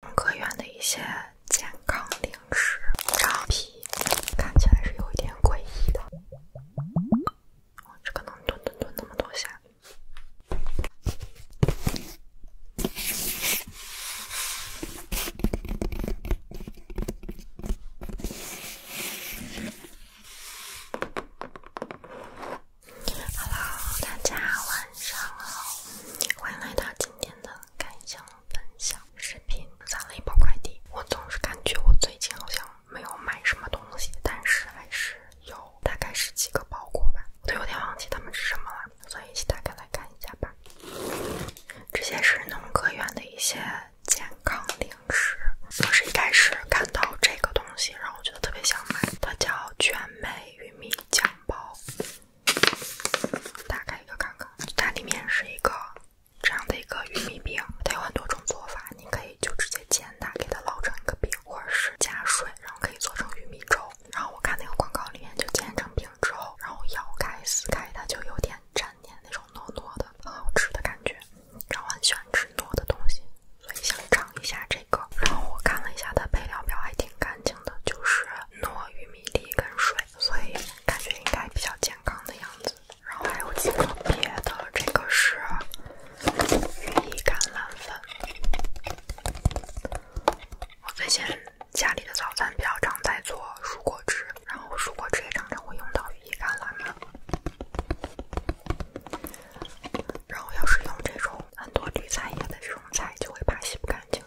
中科院的一些健康零食，长皮看起来是有一点诡异的。这个能蹲蹲蹲那么多下哈喽，大家晚上好，欢迎来到今天的。开箱分享视频，攒了一包快递。我总是感觉我最近好像没有买什么东西，但是还是有，大概十几个包裹吧，我都有点忘记他们是什么了，所以一起打开来看一下吧。这些是农科院的一些健康零食。我是一开始看到这个东西，然后我觉得特别想买，它叫全美玉米酱包打开一个看看，它里面是一个这样的一个玉米饼，它有很多种做法，你可以就直接煎它，给它烙成一个饼，或者是加水，然后可以做成玉米粥。然后我看那个广告里面就煎成饼之后，然后咬开撕开，它就有点粘粘那种糯糯的、很好吃的感觉。然后我很喜欢吃糯的东西，所以想尝一下这个。然后我看了一下它配料表还挺干净的，就是。糯玉米粒跟水，所以感觉应该比较健康的样子。然后还有几个别的，这个是羽衣甘蓝粉。我最近家里的早餐比较常在做蔬果汁，然后蔬果汁也常常会用到羽衣甘蓝粉。然后要是用这种很多绿菜叶的这种菜，就会怕洗不干净。哎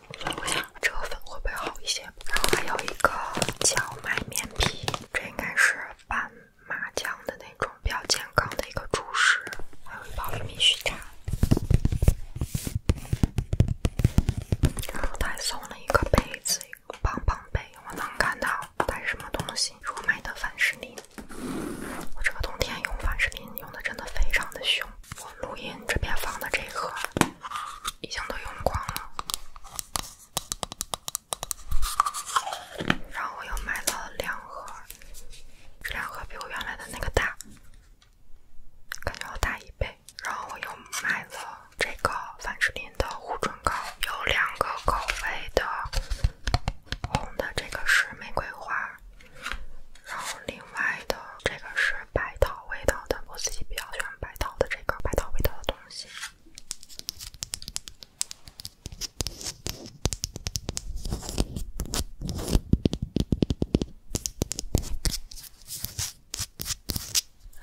呀，这个粉会不会好一些？然后还有一个荞麦面皮，这应该是拌麻酱的那种比较健康的一个主食。还有一包玉米须茶。然后他还送了一个杯子，一个胖胖杯。我能看到，这是什么东西？如果买的凡士林，我这个冬天用凡士林用的真的非常的凶。我录音这边放的这一盒。已经都用光了，然后我又买了两盒，这两盒比我原来的那个大，感觉要大一倍。然后我又买了这个凡士林的护唇膏，有两个口味的，红的这个是玫瑰花。然后另外的这个是白桃味道的，我自己比较喜欢白桃的这个白桃味道的东西，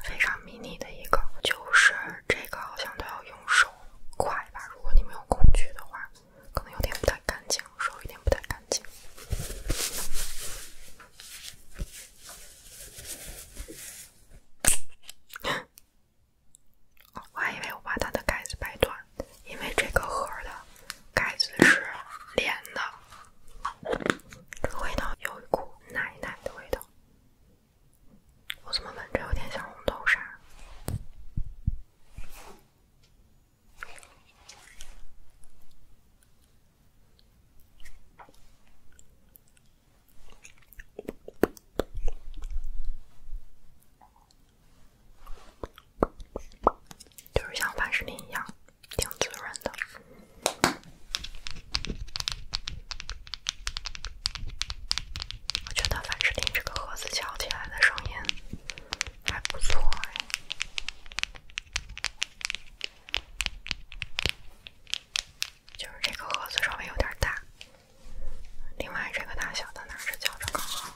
非常迷你的一个，就是这个好像都要用手快吧，如果你没有工具的话，可能有点不太干净，手有点不太干。净。我还以为我把它的盖子掰断，因为这个盒的盖子是连的。这个味道有一股奶奶的味道，我怎么闻着有点像红豆沙？就是像凡士林一样，挺滋润的。我觉得凡士林这个盒子敲起来的声音还不错呀。就是这个盒子稍微有点大，另外这个大小的拿着较着刚好。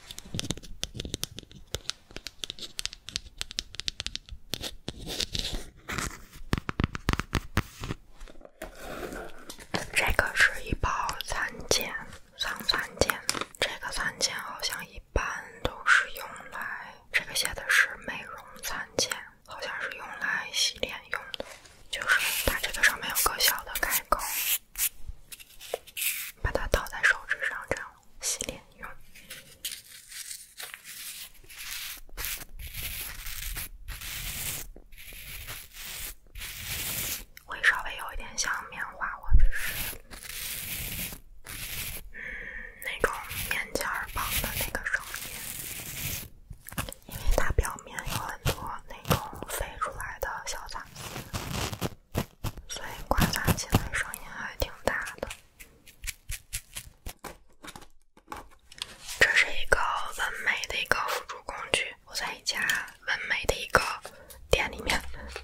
这个是一包餐茧，桑蚕茧。这个蚕茧好像一般都是用来。这个写的是美容餐巾，好像是用来洗脸用的，就是它这个上面有个小的开口，把它套在手指上，这样洗脸用，会稍微有一点像棉花，或者是。嗯，那种棉签棒的那个声音，因为它表面有很多那种飞出来的小杂质，所以刮擦起来声音还挺大的。这是一个纹眉的一个辅助工具，我在一家纹眉的一个店里面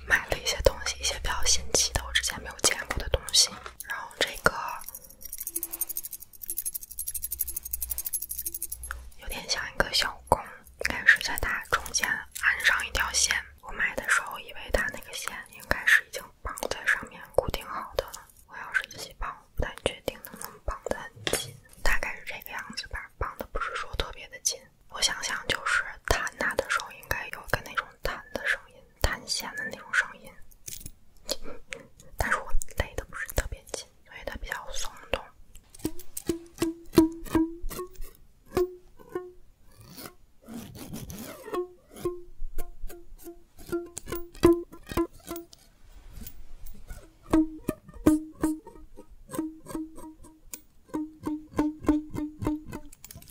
买了一些东西，一些比较新奇的我之前没有见过的东西，然后这个。有点像一个小弓，应该是在它中间安上一条线，我买的时候以为它那个线应该是已经绑在上面固定好的了。我要是自己绑，不太确定能不能绑得很紧，大概是这个样子吧，绑的不是说特别的紧。我想想，就是弹它的时候应该有个那种弹的声音。弹弦的那种声音，但是我勒的不是特别紧，因为它比较松动。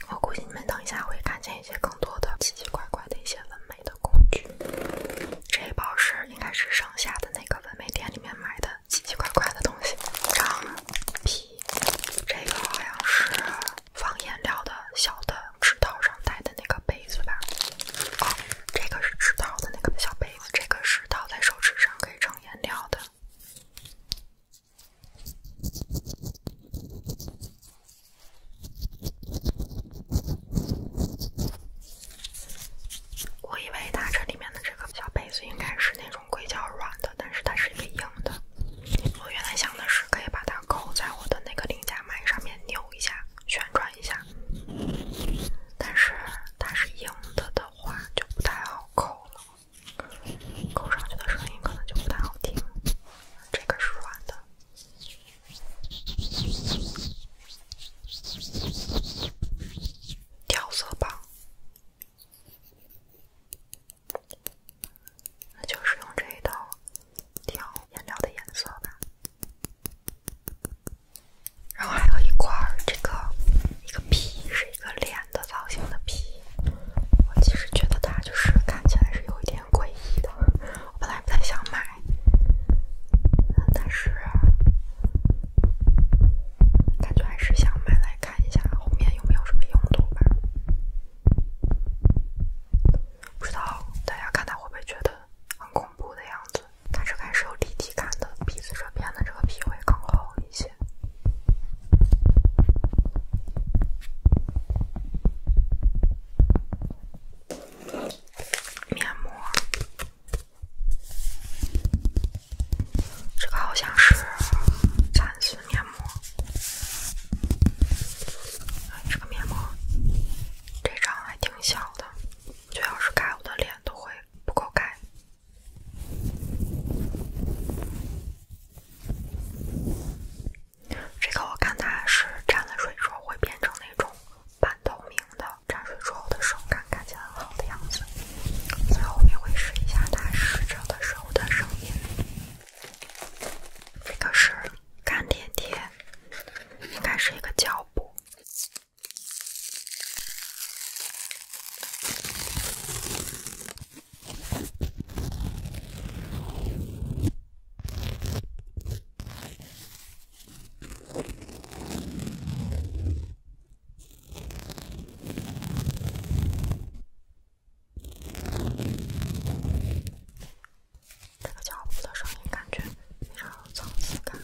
我估计你们等一下会看见一些更多的奇奇怪怪的一些纹眉的工具。这一包是应该是剩下的那个纹眉店里面买的奇奇怪怪的东西，长皮这个好像是放颜料的小的指套上戴的那个杯子吧？哦，这个是指套的那个小杯子，这个是套在手指上可以盛颜料的。我以为它这里面的这个小杯子应该是那种硅胶软的，但是它是一个硬的。我原来想的是可以把它扣在我的那个菱夹麦上面扭一下、旋转一下，但是它是硬的的话就不太好扣了，扣上去的声音可能就不太好听。这个是软的。调色棒，那就是用这一套调颜料的颜色吧。然后还有一块儿，这个一个皮是一个脸的造型的皮，我其实觉得它就是看起来是有一点。挺诡异的，我本来不太想买，但是感觉还是想买来看一下后面有没有什么用途吧。不知道大家看他会不会觉得很恐怖的样子？它这块是有立体感的，鼻子这边的这个皮会更厚一些。面膜，这个好像是蚕丝面膜。这个面膜，这张还挺小的，最要是盖我的脸都会不够盖。这个我看它是沾了水之后会变成那种半透明的，沾水之后的手感看起来很好的样子。最后我们会试一下它湿着的时候的声音。这个是干粘贴，应该是一个胶布。这个脚步的声音感觉非常有层次感，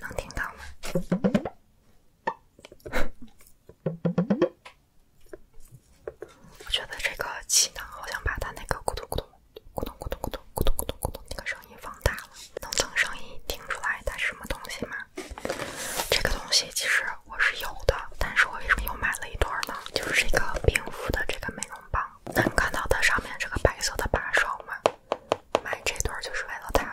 能听到吗？我觉得这个气囊好像把它那个咕嘟咕嘟、咕嘟咕嘟、咕嘟咕嘟、咕嘟咕嘟那个声音放大了，能等声音听出来它是什么东西吗？这个东西其实我是有的，但是我为什么又买了一对呢？就是这个冰敷的这个美容棒，能看到它上面这个白色的把手吗？买这对就是为了它。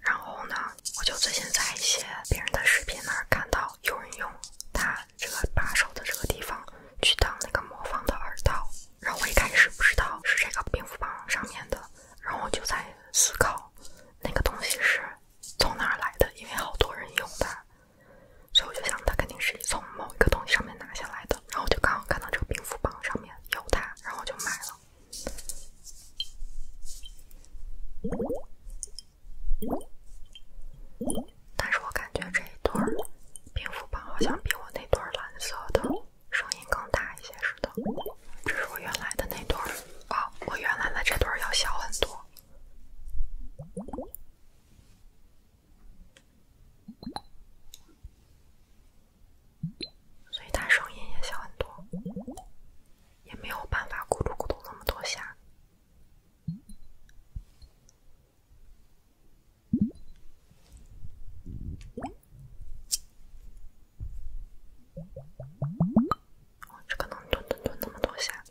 然后呢，我就最近在一些别人的视频那儿看到有人用它这个把手的这个地方去当那个魔方的耳道，然后我一开始不知道是这个冰斧棒上面的，然后我就在思考那个东西是从哪儿来的，因为好多人用它，所以我就想它肯定是从某一个东西上面拿下来的，然后我就刚好看到这个冰斧棒上面有它，然后我就买了。但是我感觉这一对蝙蝠棒好像比我那对蓝色的声音更大一些似的。这是我原来的那对儿啊，我原来的这对儿要小很多。所以他声音也小很多，也没有办法咕噜咕咚那么多下。我这个能顿顿顿那么多下。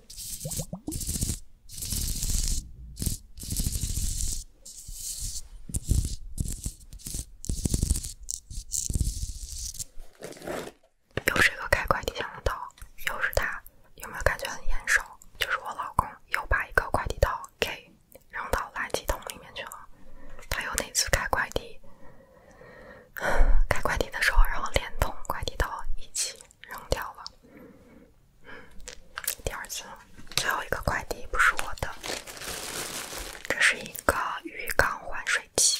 又是一个开快递箱的刀，又是他，有没有感觉很眼熟？就是我老公又把一个快递刀给扔到垃圾桶里面去了。他又那次开快递，开快递的时候，然后连同快递刀一起扔掉了。嗯，第二次，最后一个快递不是我的，这是一个鱼缸换水器。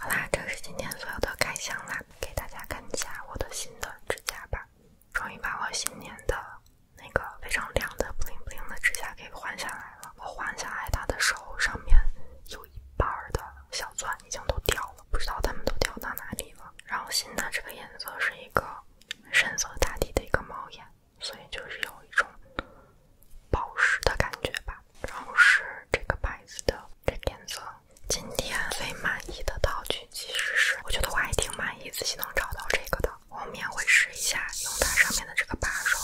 好啦，这是今天所有的开箱啦，给大家看一下我的新的指甲吧。终于把我新年的那个非常亮的布灵布灵的指甲给换下来了。我换下来它的时候，上面有一半的小钻已经都掉了，不知道它们都掉到哪里了。然后新的这个颜色是一个深色打底的一个猫眼，所以就是有一种。宝石的感觉吧，然后是这个牌子的这个颜色。今天最满意的道具其实是，我觉得我还挺满意，自己能找到这个的。后面会试一下，用它上面的这个把手，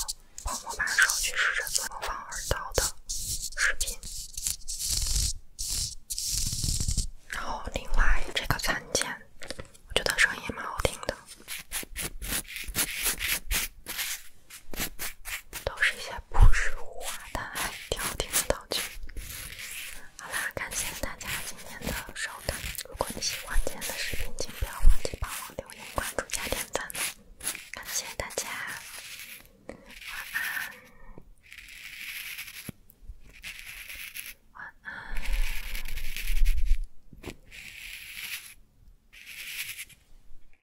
泡沫把手去试着做模仿耳道的视频。然后另外这个餐间，我觉得声音蛮好听的。都是一些朴实无华但还挺好的道具。好啦，感谢大家今天的收看。如果你喜欢今天的视频，请不要忘记帮忙留言、关注加点赞哦！感谢大家，晚安，晚安。